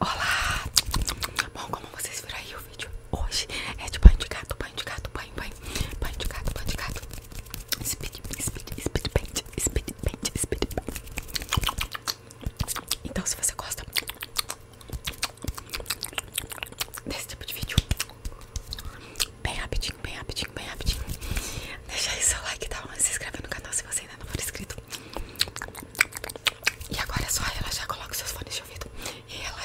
Olá! Bom, como vocês viram aí, o vídeo hoje é de banho de gato, banho de gato, banho, banho, banho de gato, banho de gato. Speed, speed, speed paint, speed speed Então, se você gosta desse tipo de vídeo, Bem rapidinho, bem rapidinho, bem rapidinho. Deixa aí seu like, tá? Se inscreve no canal se você ainda não for inscrito. E agora é só relaxar, coloca seus fones de ouvido. E relaxa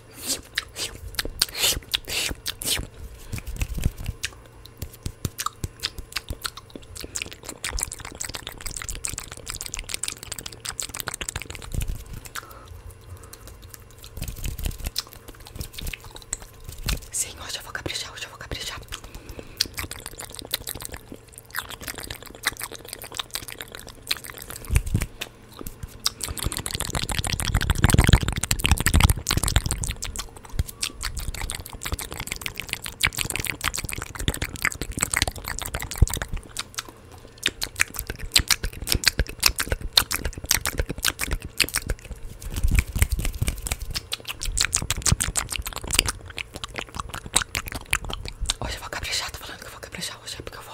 Sim, hoje eu vou caprichar, hoje eu vou caprichar. Hoje vou caprichar, tô falando que vou caprichar hoje é porque eu vou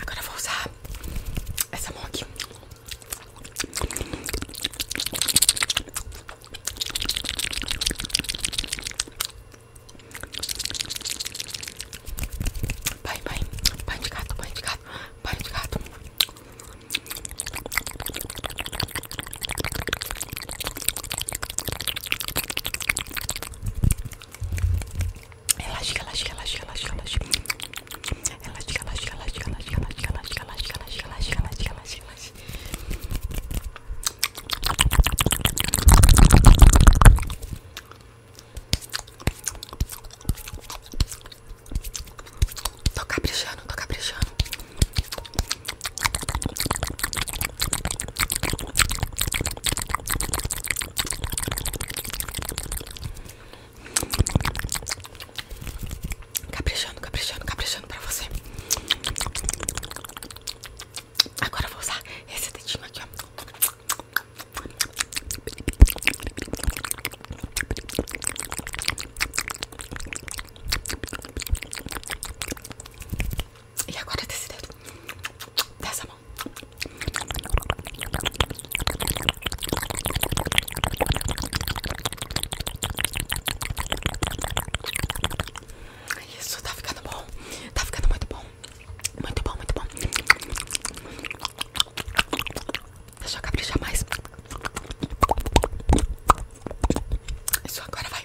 Agora vou usar essa mão aqui. Vai, vai, vai de gato, vai de gato, vai de gato. Relaxa, relaxa, relaxa, relaxa, relaxa. Relaxa, relaxa, relaxa, relaxa, relaxa, relaxa, relaxa, relaxa, relaxa, relaxa, relaxa hoje. Tô caprichando, tô caprichando. Caprichando, caprichando, caprichando pra você. Agora eu vou usar esse dedinho aqui, E agora desse dedo, dessa mão. Isso, tá ficando bom. Tá ficando muito bom. Muito bom, muito bom. Deixa eu caprichar mais. Isso, agora vai.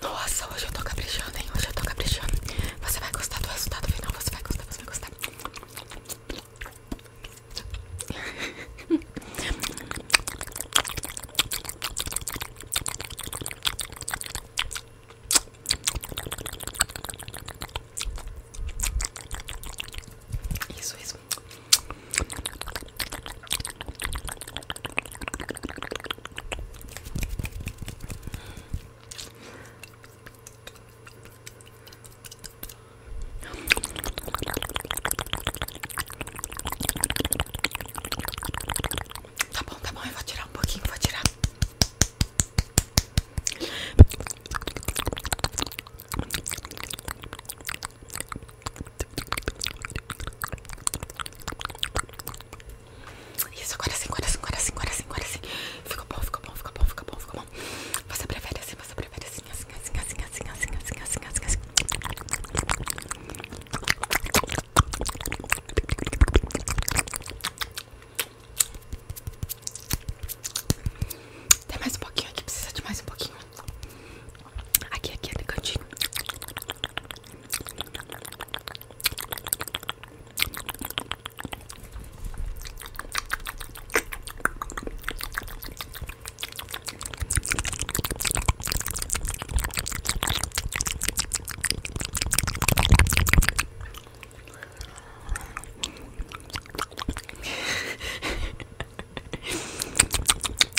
Nossa, hoje eu tô caprichando, hein? Hoje eu tô caprichando. Você vai gostar do resultado final, você vai gostar, você vai gostar. Isso, isso. Tá bom, tá bom, eu vou tirar um pouquinho, vou tirar. Isso, agora sim, agora sim, agora sim, agora sim, agora sim. fica bom, fica bom, fica bom, fica bom, ficou bom. Você prefere assim, você prefere assim, assim, assim, assim, assim, assim, assim, assim, assim, assim. Tem mais um pouquinho aqui, precisa de mais um pouquinho. Aqui, aqui, é cantinho.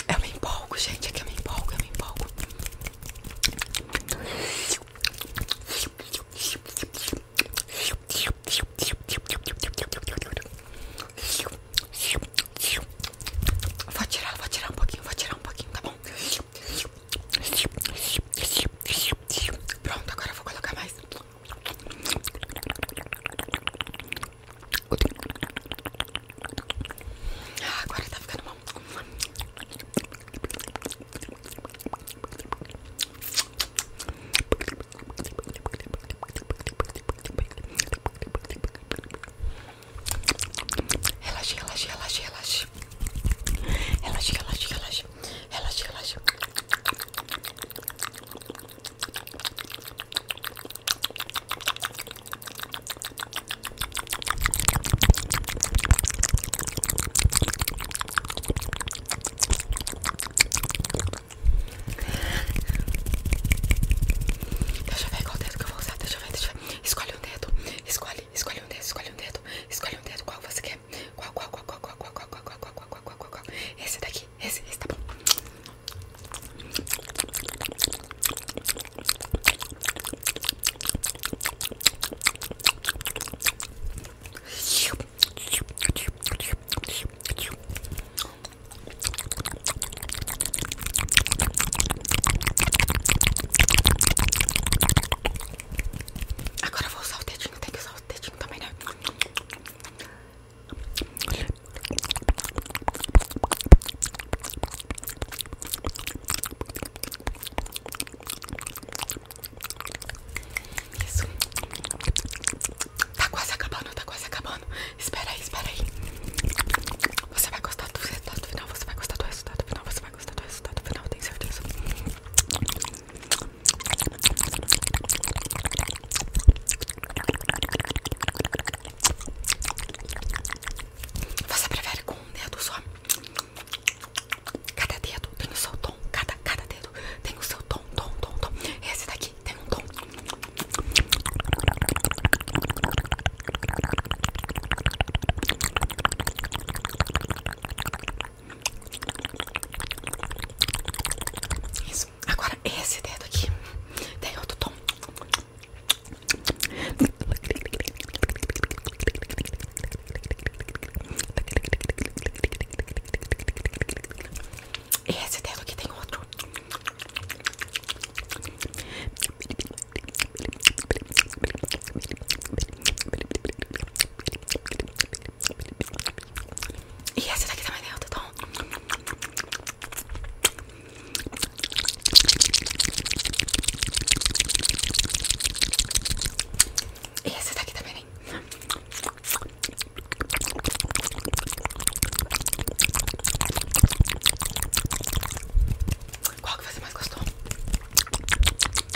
Eu me empolgo, gente. É que eu me empolgo, eu me empolgo. Vou tirar, vou tirar um pouquinho, vou tirar um pouquinho, tá bom? Pronto, agora eu vou colocar mais. Ah, agora tá ficando bom. Relaxa, relaxa, relaxa, relaxa. Relaxa, relaxa, relaxa. Relaxa, relaxa. Deixa eu ver qual dedo que eu vou usar. Deixa eu ver, deixa eu ver. Escolhe um dedo. Escolhe, escolhe um dedo, escolhe um dedo. Escolhe um dedo, qual você quer? ver. Qual, qual, qual, qual, qual, qual, qual, qual, qual, qual, qual, qual, qual, qual. Esse daqui, esse, esse tá bom. Agora eu vou usar o dedo tem que usar o dedinho também, tá né? Isso. Tá quase acabando, tá quase acabando. Espera aí, espera aí. Você vai gostar do resultado final, você vai gostar do resultado final, você vai gostar do resultado final, eu tenho certeza. Você prefere com um dedo só? Cada dedo tem o seu tom. Cada, cada dedo tem o seu tom, tom, tom, tom. Esse daqui tem um tom. Agora esse dedo aqui tem outro tom. Esse dedo aqui tem outro. E essa daqui também é outro tom. E essa daqui também. Qual que você mais gostou?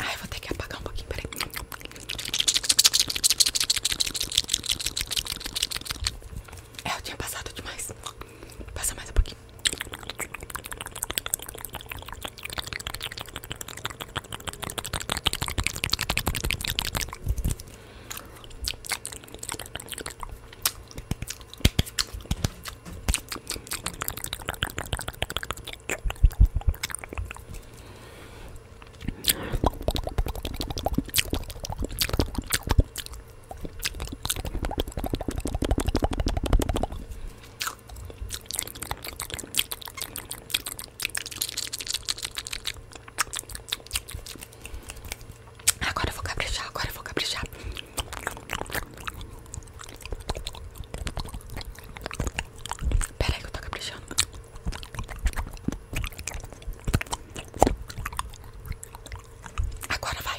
Ai, vou ter que apagar um pouquinho, peraí. É, tinha passado demais. Passa mais um pouquinho. Agora eu vou caprichar, agora eu vou caprichar. Pera aí que eu tô caprichando. Agora vai.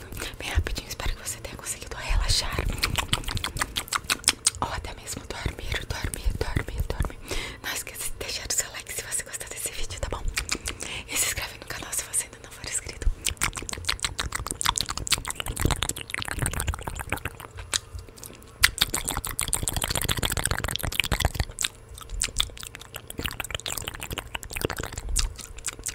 rapidinho, bem rapidinho. Espero que você tenha conseguido relaxar. Ou até mesmo dormir, dormir, dormir, dormir. Não esqueça de deixar o seu like se você gostar desse vídeo, tá bom? E se inscreve no canal se você ainda não for inscrito.